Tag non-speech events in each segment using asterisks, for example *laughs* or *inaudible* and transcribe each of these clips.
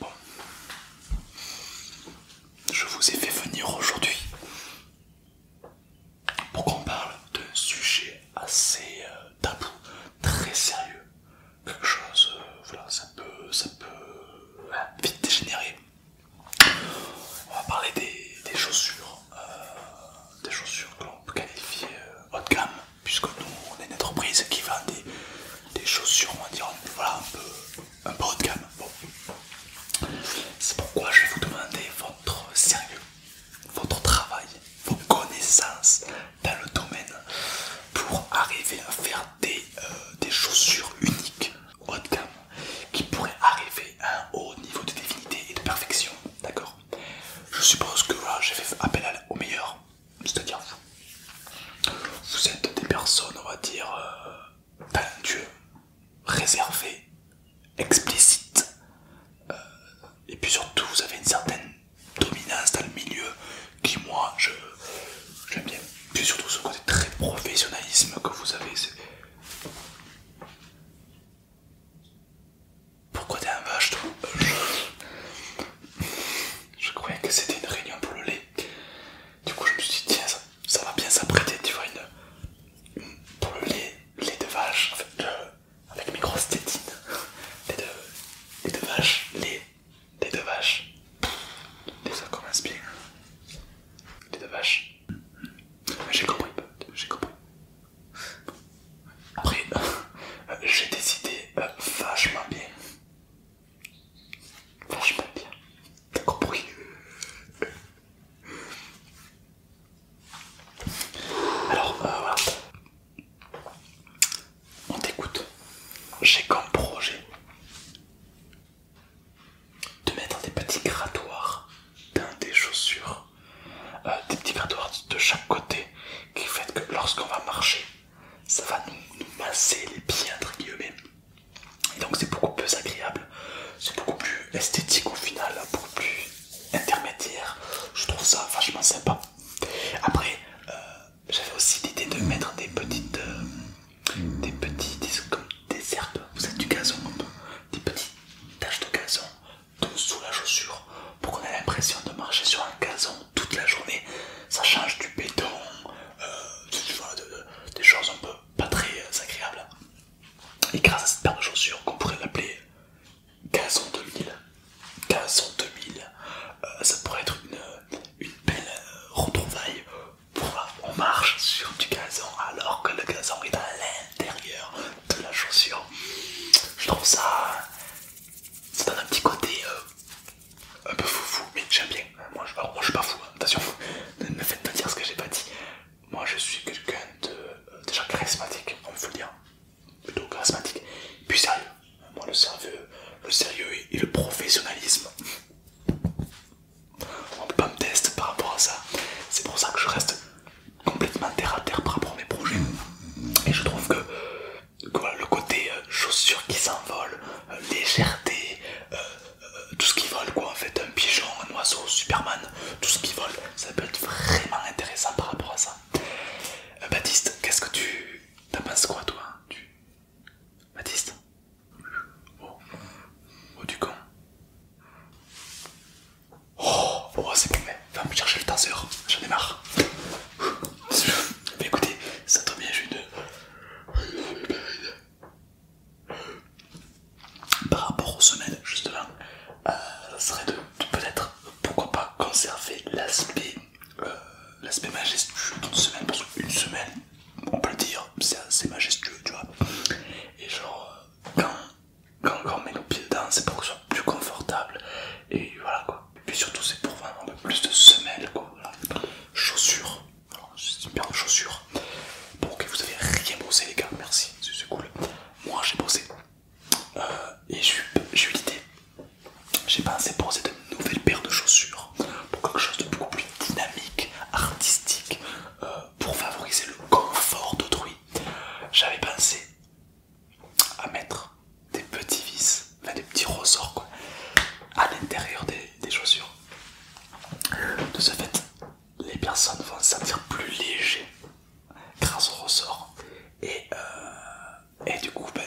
Bon, je vous ai fait venir aujourd'hui pour qu'on parle d'un sujet assez euh, tabou, très sérieux. Quelque chose, euh, voilà, ça peut, ça peut vite dégénérer. On va parler des, chaussures, euh, des chaussures que l'on peut qualifier haut de gamme, puisque nous on est une entreprise qui vend des des chaussures, on va dire, un peu, haut de gamme. C'est pourquoi je vais vous demander votre sérieux, votre travail, vos connaissances dans le domaine pour arriver à faire des, euh, chaussures uniques, haut de gamme, qui pourraient arriver à un haut niveau de divinité et de perfection. D'accord Je suppose que j'ai fait appel au meilleur c'est-à-dire vous. êtes des personnes, on va dire, euh, talentueuses, réservées, explicites, euh, et puis surtout vous avez une certaine dominance dans le milieu qui, moi, je j'aime bien. Puis surtout ce côté très professionnalisme que vous avez. c'est... Pourquoi t'es un vache toi je croyais que c'était une réunion pour le lait. Du coup, je me suis dit, tiens, ça, va bien s'apprêter, tu vois, une, pour le lait, lait de vache, en fait, avec mes grosses tétines, lait de, de vache, lait, lait de vache. Et ça commence bien. Lait de vache. J'ai compris, j'ai compris. Après, *laughs* euh, j'ai décidé euh, vachement bien Vachement bien. T'as compris Alors, euh, On t'écoute. J'ai comme projet de mettre des petits grattoirs dans des chaussures, euh, des petits grattoirs de chaque côté qui fait que lorsqu'on va marcher, ça va nous, masser les pieds entre guillemets et donc c'est beaucoup plus agréable c'est beaucoup plus esthétique au final beaucoup plus intermédiaire je trouve ça vachement sympa après euh, j'avais aussi l'idée de mettre des petites euh, des petits des, comme des herbes vous savez du gazon des petites taches de gazon sous la chaussure pour qu'on ait l'impression de marcher sur un gazon toute la journée ça change du béton euh, des choses un peu pas très euh, agréables. Et grâce à cette paire de chaussures qu'on pourrait l'appeler Gazon 2000, Gazon 2000, euh, ça pourrait être une, belle retrouvaille pour on marche sur du gazon alors que le gazon est à l'intérieur de la chaussure. Je trouve ça... c'est un petit côté un peu foufou, mais j'aime bien. Euh, moi je, alors, suis pas fou, hein, attention, *laughs* ne me faites pas dire ce que j'ai pas dit. Moi je suis quelqu'un de euh, déjà charismatique, on peut le dire, plutôt charismatique, puis sérieux. Moi le sérieux, le sérieux et, le professionnalisme. On peut pas me tester par rapport à ça. C'est pour ça que je reste complètement terre à terre par rapport à mes projets. Et je trouve que voilà, le côté euh, chaussures qui s'envolent, euh, légèreté, euh, tout ce qui vole quoi en fait, un pigeon, un oiseau, Superman, tout ce qui vole, ça peut être vraiment intéressant par rapport à ça. Baptiste, qu'est-ce que tu... T'en penses quoi toi tu... Baptiste Oh, oh du con. Oh, oh, c'est bon, mais va me chercher le tasseur, j'en ai marre. Mais écoutez, ça tombe bien, j'ai une par rapport aux semaines, justement, euh, ça serait de, peut-être, pourquoi pas, conserver l'aspect euh, majestueux d'une semaine parce qu'une semaine, on peut le dire, c'est assez majestueux, tu vois. Et genre, euh, quand, quand on met nos pieds dedans, c'est pour que ce soit plus confortable, et voilà quoi. Et puis surtout, c'est pour vendre un peu plus de semelles, quoi. c'est Chaussures, paire de chaussures. Bon, que vous avez rien bossé, les gars, merci, c'est cool. Moi, j'ai bossé. Euh, et j'ai eu l'idée, j'ai pensé pour de nouvelles paires de chaussures pour quelque chose de beaucoup plus dynamique, artistique, euh, pour favoriser le confort d'autrui. J'avais pensé à mettre des petits vis, des petits ressorts à l'intérieur des, chaussures. De ce fait, les personnes vont se sentir plus léger grâce au ressort euh, et, du coup ben,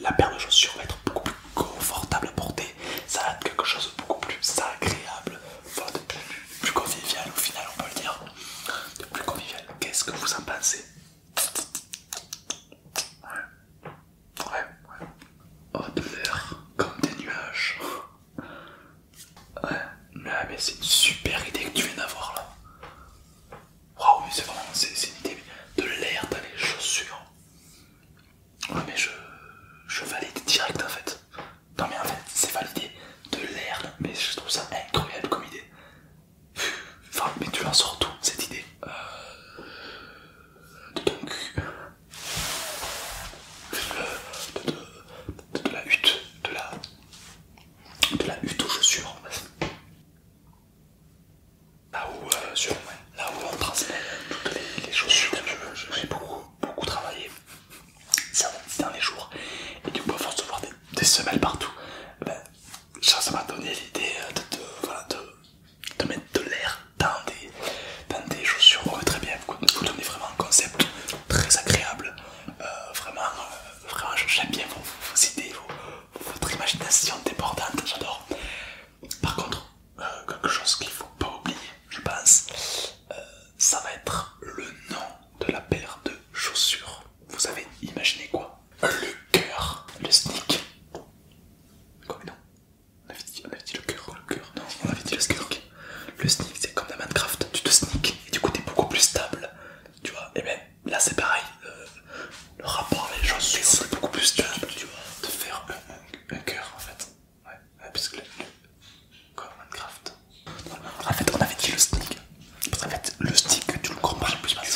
la, paire de chaussures va être beaucoup plus confortable à porter, ça va être quelque chose de beaucoup plus agréable, de plus, convivial au final on peut le dire, de plus convivial. Qu'est-ce que vous en pensez Ouais, ouais. de l'air comme des nuages. Ouais, mais, c'est une super idée que tu viens d'avoir là. Waouh, mais c'est vraiment c'est une idée de l'air dans les chaussures. Ouais, mais je, valide direct en fait. Non, mais en fait, c'est validé de l'air, mais je trouve ça incroyable comme idée. Enfin, mais tu en surtout cette idée euh, de ton cul, de, la hutte, de la, hutte aux chaussures, là où, euh, là où on transmet toutes les, chaussures. J'ai beaucoup, beaucoup travaillé ces hein, derniers jours, et du coup, à force de voir des, semelles partout, eh ben, ça m'a donné l'idée euh, de de mettre de l'air dans des, des chaussures très bien. Vous, donnez vraiment un concept très agréable. Euh, euh, vraiment, j'aime bien vos, idées, votre imagination débordante, j'adore. Par contre, euh, quelque chose qu'il ne faut pas oublier, je pense, ça va être le nom de la paire de chaussures. Vous avez imaginé quoi Le cœur, le sneak, Quoi mais non. On avait dit, le cœur, le cœur, non, on avait dit le sneak. Le sneak, c'est comme dans Minecraft, tu te sneak et du coup t'es beaucoup plus stable, tu vois. Et bien là, c'est pareil, euh, le rapport avec les choses c'est beaucoup plus stable, tu vois, de faire un, cœur en fait. Ouais, parce que le, comme Minecraft. En fait, on avait dit le sneak, parce qu'en fait, le stick, tu le comprends plus. Parce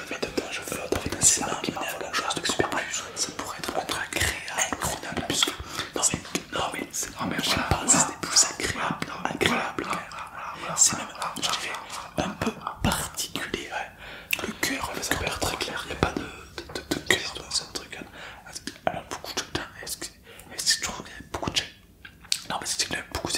je vais dedans, je veux avec un scénario qui m'envoie quelque chose de super plus. Ça pourrait être un truc incroyable. Non mais, non mais, non mais, je pense que c'était plus agréable, C'est même, je fait un peu particulier. Le cœur, le cœur très clair, il n'y a pas de cœur dans ce truc. Alors beaucoup de gens, est-ce que tu trouves qu'elle a beaucoup de gens Non mais c'est une a beaucoup, de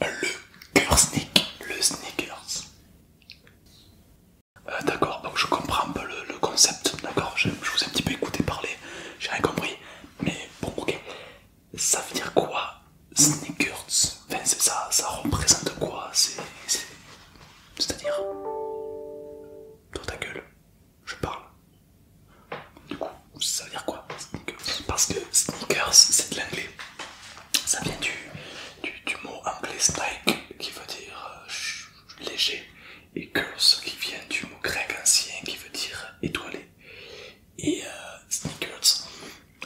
Le cœur sneak, le sneakers. Euh, d'accord, donc je comprends un peu le, concept, d'accord je, vous ai un petit peu écouté parler, j'ai rien compris, mais bon, ok. Ça veut dire quoi Sneakers Enfin, ça, ça représente quoi C'est c'est-à-dire Dans ta gueule, je parle. Du coup, ça veut dire quoi Parce que sneakers, c'est de l'anglais. Ça vient du, mot anglais "strike" qui veut dire euh, léger et curse qui vient du mot grec ancien qui veut dire étoilé. Et euh, sneakers,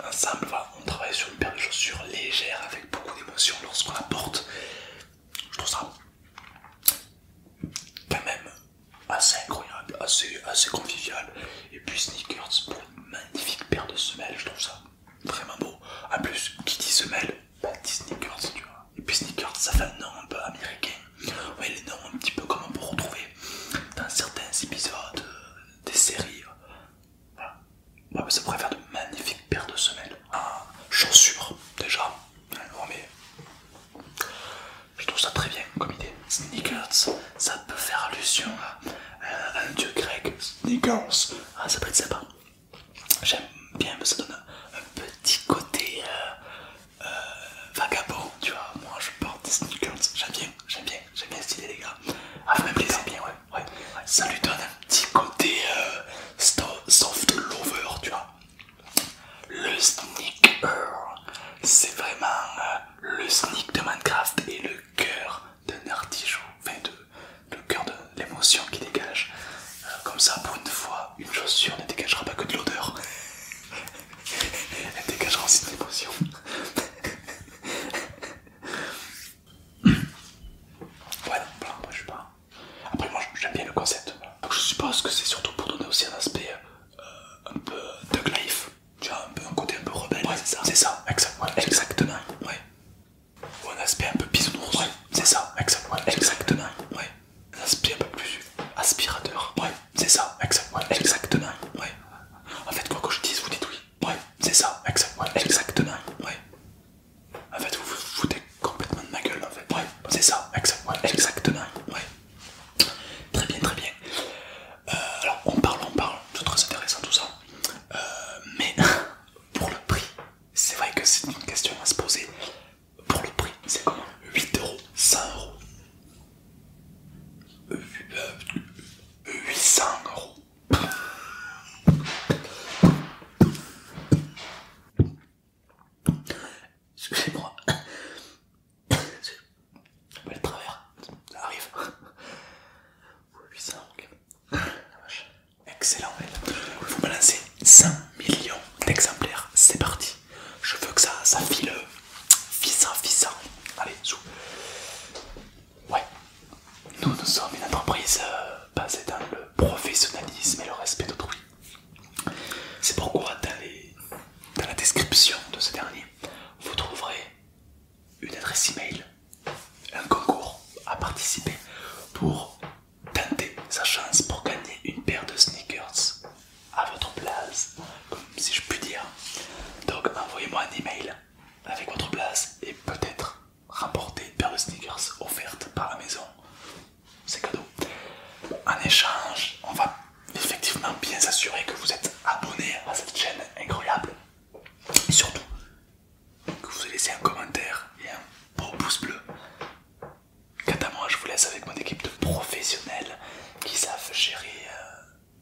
ensemble, on travaille sur une paire de chaussures légères avec beaucoup d'émotion lorsqu'on la porte. Je trouve ça quand même assez incroyable, assez, assez convivial. Et puis sneakers pour une magnifique paire de semelles, je trouve ça vraiment beau. En plus, qui dit semelles, bah, dit sneakers, tu vois. Et puis sneakers, ça fait un nom un peu américain. voyez le nom un petit peu comme on peut retrouver dans certains épisodes euh, des séries ça pourrait faire de magnifiques paires de semelles. Ah, en chaussures, déjà. mais je trouve ça très bien comme idée. Sneakers, ça peut faire allusion à, euh, un dieu grec. Sneakers, ah, ça peut être sympa. J'aime bien, mais ça donne un, petit côté euh, euh, vagabond, tu vois. Moi, je porte des sneakers. J'aime bien, j'aime bien, j'aime bien stylé les gars. Ah, même les bien, ouais ouais, Ça lui donne un petit côté euh, soft lover, tu vois. Le sneaker, c'est vraiment euh, le sneak de Minecraft et le cœur d'un artichaut, enfin de, le cœur de l'émotion qui dégage. Euh, comme ça, pour une fois, une chaussure ne dégagera pas que de l'odeur. *laughs* Elle dégagera aussi de l'émotion. *laughs* *coughs* Ouais, voilà, je sais pas. Après, moi j'aime bien le concept. je suppose que c'est surtout pour donner aussi un aspect euh, un peu Doug life. Tu vois, un, peu, un côté un peu rebelle. Ouais, c'est ça. C'est ça, exactement. Ouais. Ou un aspect un peu bisounours. Ouais, c'est ça, exactement. Ouais. Un aspect un peu plus aspirateur. Ouais, c'est ça, exactement. Ouais. En fait, quoi que je dise, vous dites oui. Ouais, c'est ça, exact, exactement. Ouais. En fait, vous vous foutez complètement de ma gueule, en fait. Ouais, c'est ça, exact, exactement. Ouais. Très bien, très bien. Euh, alors, on parle, on parle, c'est très intéressant tout ça. Euh, mais *laughs* pour le prix, c'est vrai que c'est une question à se poser. Pour le prix, c'est comment 8 euros, 100 euros. 800 euh, euros, Excusez-moi. Je vais le travers, ça arrive. Excellent. Vous me lancez 100 millions d'exemplaires. C'est parti. Je veux que ça, ça file. Fissa, fissa. Allez, sous. Ouais. Nous, nous sommes une entreprise euh, basée dans le professionnalisme et le respect d'autrui. C'est pourquoi dans, dans la description de ce dernier, vous trouverez une adresse email, un concours à participer pour tenter sa chance pour gagner une paire de sneakers à votre place, comme si je puis dire. Donc envoyez-moi un email avec votre place et peut-être rapporter une paire de sneakers offerte par la maison. C'est cadeau. En échange, on va effectivement bien s'assurer que vous êtes abonné à cette chaîne incroyable. Et surtout, que vous laissez un commentaire et un beau pouce bleu. Quant à moi, je vous laisse avec mon équipe de professionnels qui savent gérer euh,